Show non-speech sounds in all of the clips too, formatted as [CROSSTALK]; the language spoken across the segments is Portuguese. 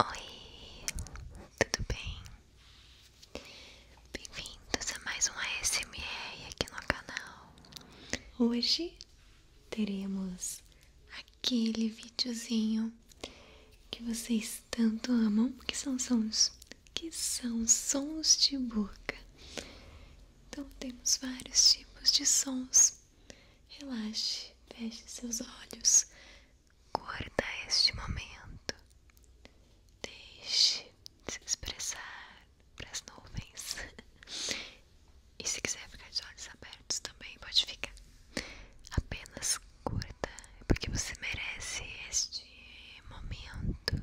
Oi, tudo bem? Bem-vindos a mais uma ASMR aqui no canal. Hoje teremos aquele videozinho que vocês tanto amam, que são sons que são sons de boca. Então temos vários tipos de sons Relaxe, feche seus olhos, curta este momento, deixe se expressar para as nuvens. [LAUGHS] E se quiser ficar de olhos abertos também, pode ficar. Apenas curta, porque você merece este momento.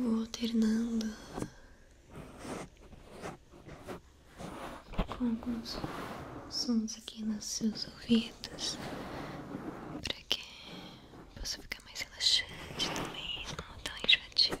Eu vou alternando com alguns sons aqui nos seus ouvidos para que possa ficar mais relaxante também, não tão enjoativo.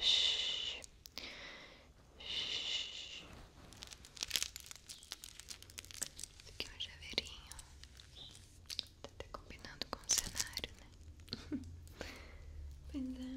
Isso aqui é um javeirinho. Tá até combinando com cenário, né? [LAUGHS] pois é.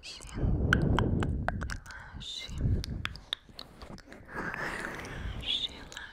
Relaxe, relaxe, relaxe, relaxe,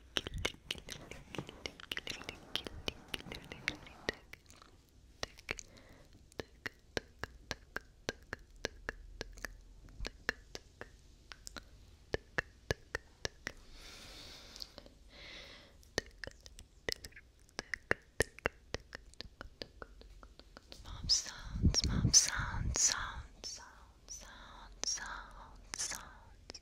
Mouth sounds, mouth sounds, sounds, sounds, sounds, sounds, sounds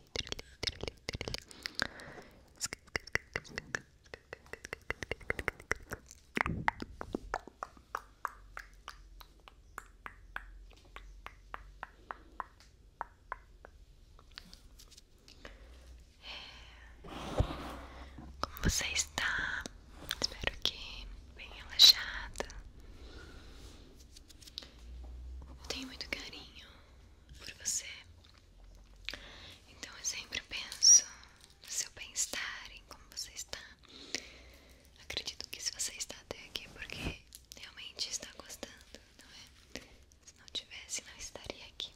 Como você está? Espero que bem relaxada. Eu tenho muito carinho por você. Então eu sempre penso no seu bem-estar, em como você está. Acredito que se você está até aqui é porque realmente está gostando, não é? Se não tivesse, não estaria aqui.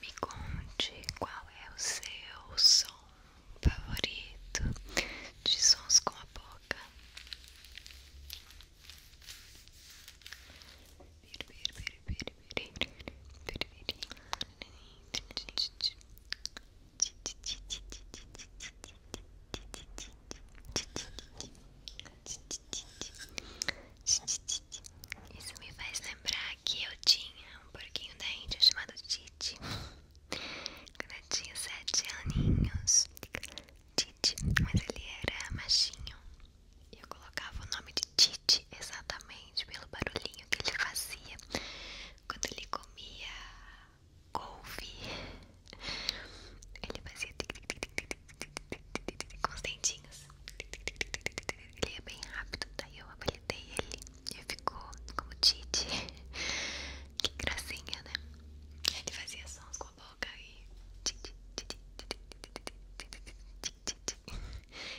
Me conte qual é o seu som favorito de sons com a boca. Isso me faz lembrar que eu tinha um porquinho da Índia chamado Titi. Quando sete aninhos, Titi, mas ele era machinho. E eu colocava o nome de Titi exatamente pelo barulhinho que ele fazia quando ele comia couve. Ele fazia com os dentinhos. Ele ia bem rápido, daí eu apelidei ele e ficou como Titi. Que gracinha, né? Ele fazia sons com titi titi titi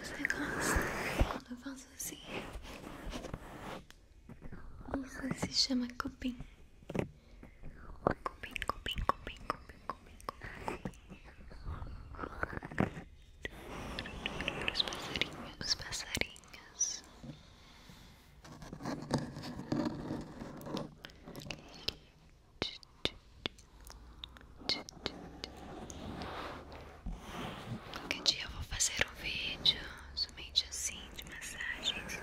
Você gosta quando eu faço assim? Isso se chama cupim. Cupim, cupim, cupim, cupim, cupim, cupim. Os passarinhos, os passarinhos. Qualquer dia eu vou fazer um vídeo somente assim de massagens.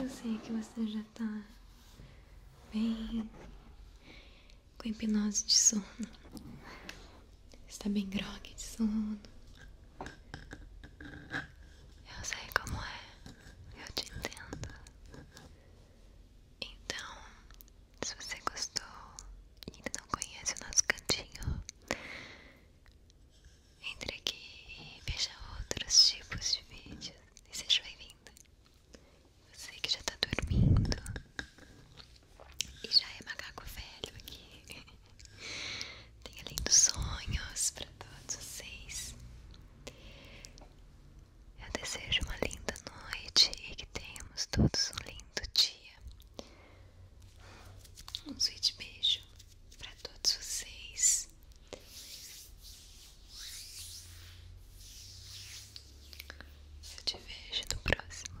Eu sei que você já tá bem com hipnose de sono. Está bem grogue de sono. Eu sei como é. Eu te entendo. Então, se você gostou e ainda não conhece o nosso cantinho, entre aqui e veja outros tipos de vídeos e seja bem-vinda. Você que já está dormindo e já é macaco velho aqui. [LAUGHS] Tenha lindos sonhos para todos vocês. Eu desejo uma linda noite e que tenhamos todos um lindo dia. Um sweet beijo para todos vocês. Eu te vejo no próximo.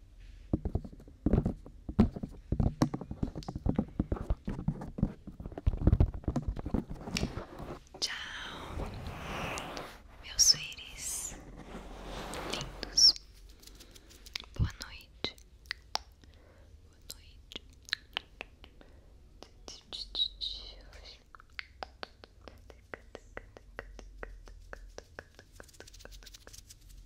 Tchau, meus suíris lindos. Boa noite. Boa noite.